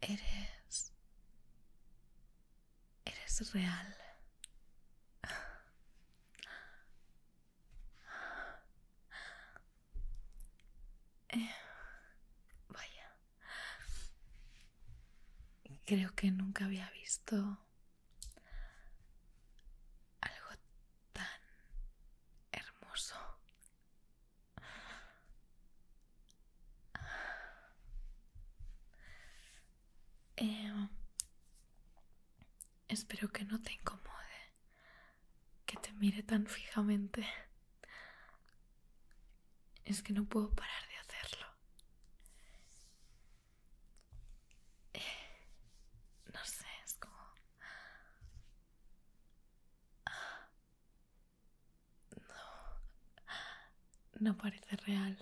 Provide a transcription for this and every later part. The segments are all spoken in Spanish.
Eres... Eres real. Eh, vaya. Creo que nunca había visto algo tan hermoso. Em, espero que no te incomode que te mire tan fijamente. Es que no puedo parar de hacerlo. Eh, no sé, es como... No, no parece real.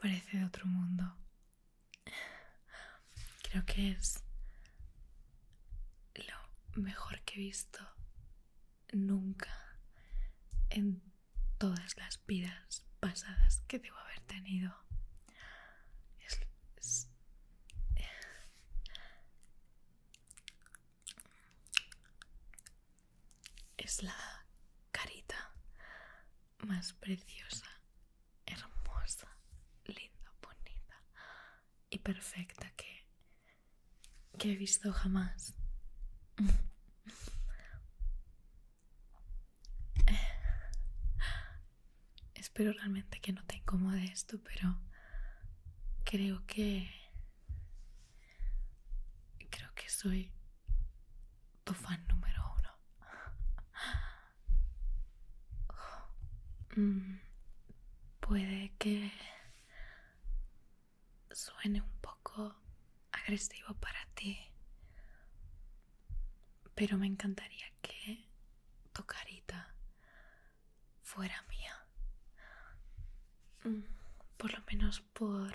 Parece de otro mundo. Creo que es lo mejor que he visto nunca en todas las vidas pasadas que debo haber tenido. Es, es la carita más preciosa, hermosa, linda, bonita y perfecta que he visto jamás. Espero realmente que no te incomode esto, pero creo que creo que soy tu fan número uno. Mm, puede que suene un poco agresivo para ti pero me encantaría que tu carita fuera mía. Mm, por lo menos por...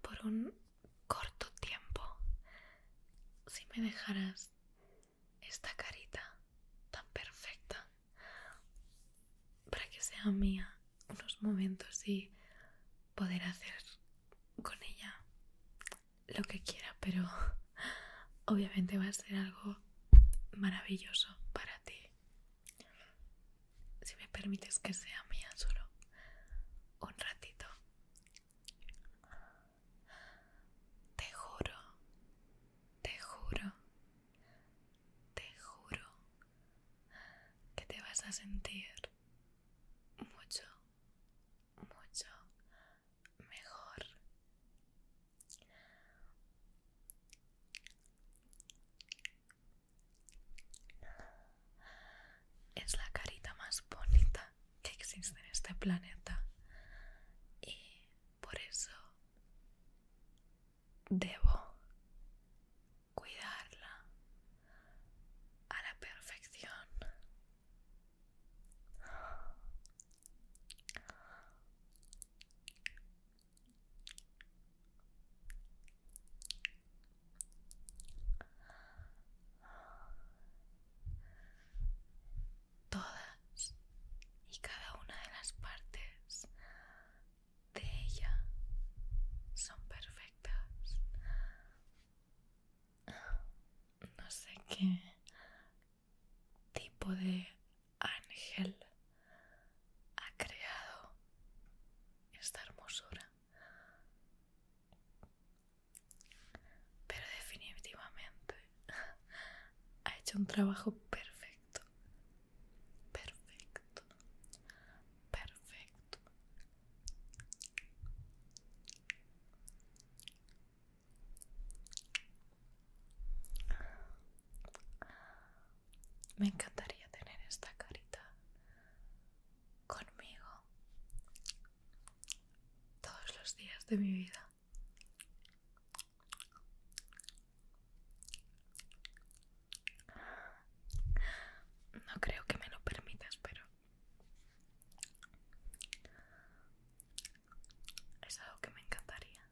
por un corto tiempo. Si me dejaras esta carita tan perfecta para que sea mía unos momentos y poder hacer con ella lo que quiera, pero obviamente va a ser algo maravilloso para ti. Si me permites que sea mía solo un ratito. Te juro, te juro, te juro que te vas a sentir mucho, mucho mejor es la carita más bonita que existe en este planeta y por eso debo cuidarla a la perfección Todas y cada una de las partes de ella son perfectas no sé qué tipo de ángel ha creado esta hermosura. Pero definitivamente ha hecho un trabajo perfecto. Perfecto. Perfecto. Me encantaría tener esta carita conmigo todos los días de mi vida. No creo que me lo permitas, pero es algo que me encantaría.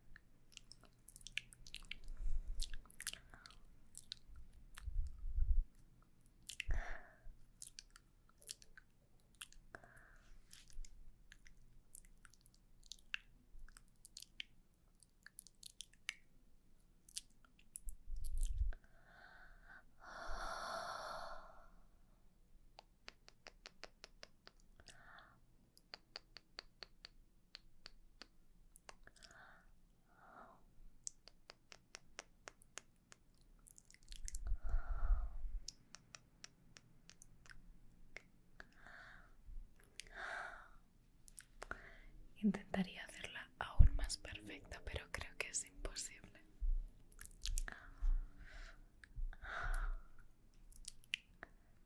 Intentaría hacerla aún más perfecta, pero creo que es imposible.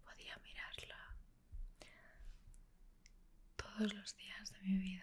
Podía mirarla todos los días de mi vida.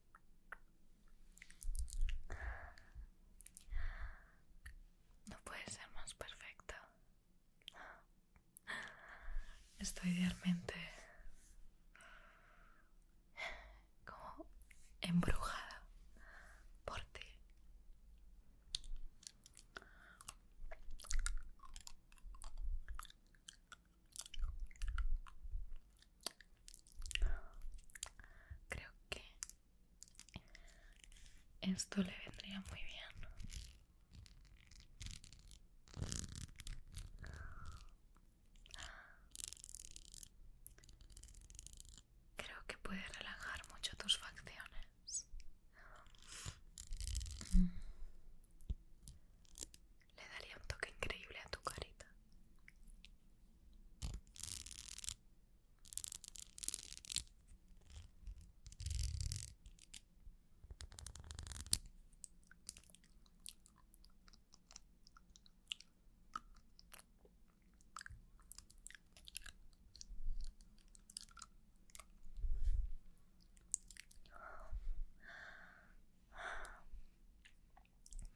No puede ser más perfecto Estoy realmente como embrujada por ti. Creo que esto le vendría muy bien. Creo que puede relajar mucho tus facciones le daría un toque increíble a tu carita.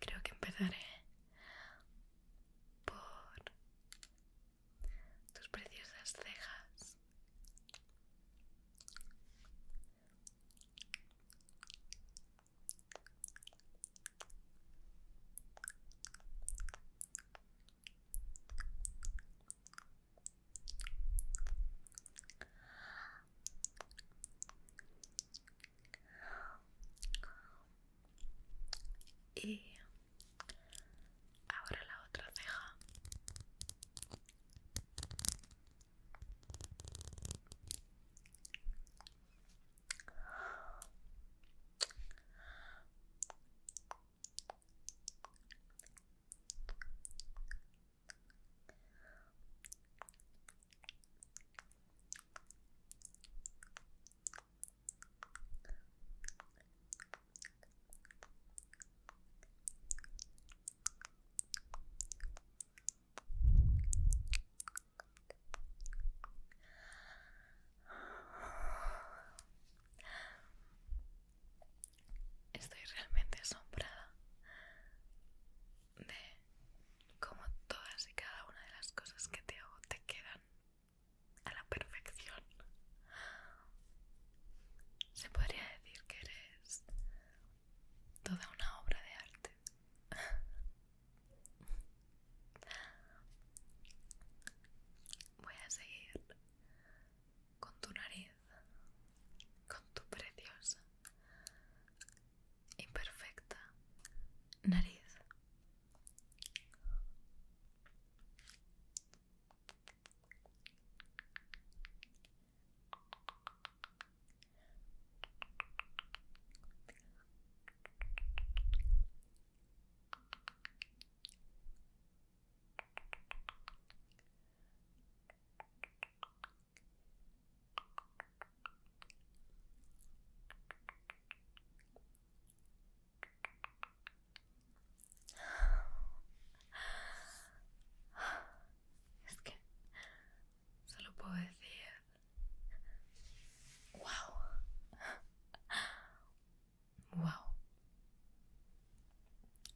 Creo que empezaré por tus preciosas cejas y ahora la otra ceja Estoy realmente asombrada de cómo todas y cada una de las cosas que te hago te quedan a la perfección. Se podría decir que eres toda una obra de arte. Voy a seguir con tu nariz, con tu preciosa imperfecta nariz es que solo puedo decir, wow, wow,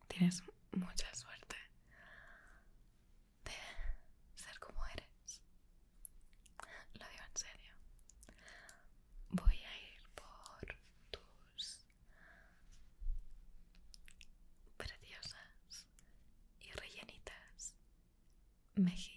tienes mucha suerte de ser como eres. Lo digo en serio. Voy a ir por tus preciosas y rellenitas mejillas.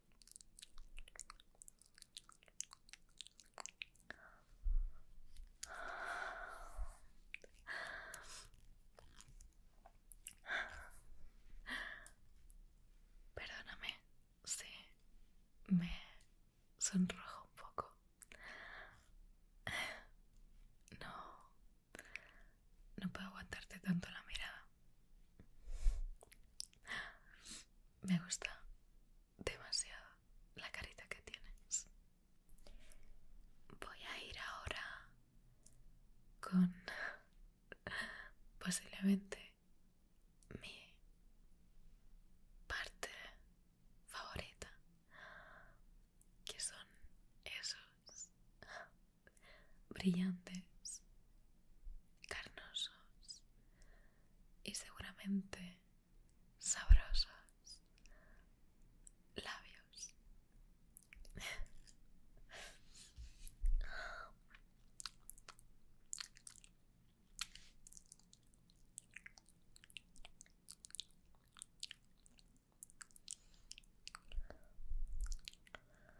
Perdóname si me sonrojo un poco. No, no puedo aguantarte tanto la mirada. Me gusta demasiado la carita que tienes. Voy a ir ahora con posiblemente mi parte favorita, que son esos brillantes, carnosos y seguramente sabrosos labios.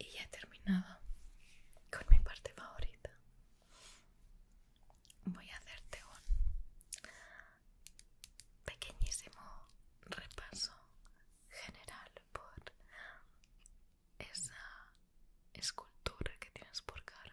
Y ya he terminado con mi parte favorita voy a hacerte un pequeñísimo repaso general por esa escultura que tienes por cara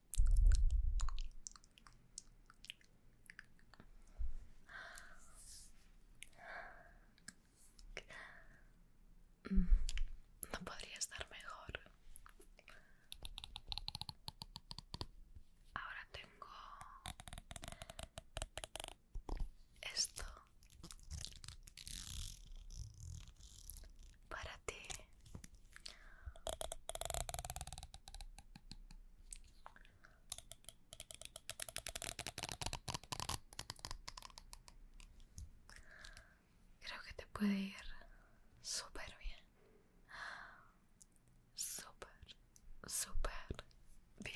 Mm, no podría estar mejor. Ahora tengo esto para ti. Creo que te puede ir súper bien. Súper, súper bien.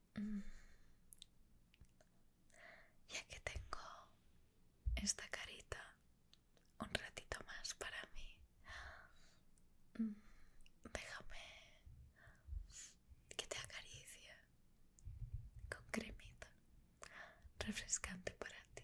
Mm. Ya que tengo esta carita un ratito más para mí, mm, déjame que te acaricie con cremita refrescante para ti.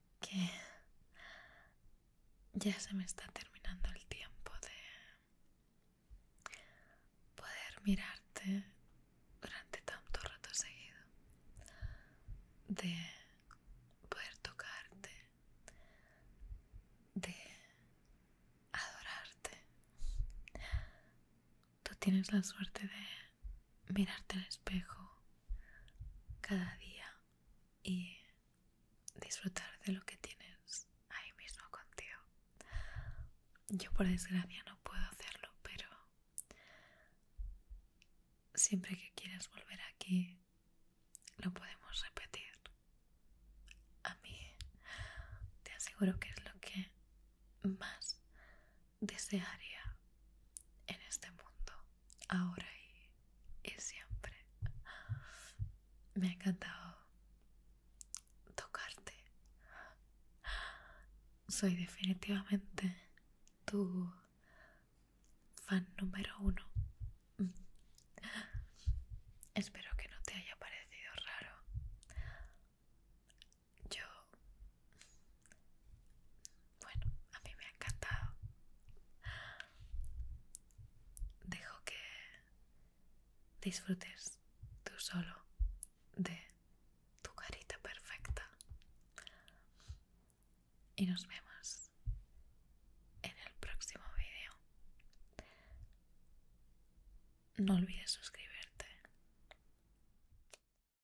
que ya se me está terminando el tiempo de poder mirarte durante tanto rato seguido, de poder tocarte, de adorarte. Tú tienes la suerte de mirarte al espejo cada día y disfrutar de lo que tienes ahí mismo contigo. Yo por desgracia no puedo hacerlo, pero siempre que quieras volver aquí lo podemos repetir. A mí te aseguro que es lo que más desearía en este mundo, ahora y, siempre. Me ha encantado tocarte. Soy definitivamente tu fan número uno. Espero que no te haya parecido raro yo bueno a mí me ha encantado dejo que disfrutes tú solo de tu carita perfecta y nos vemos en el próximo vídeo no olvides suscribirte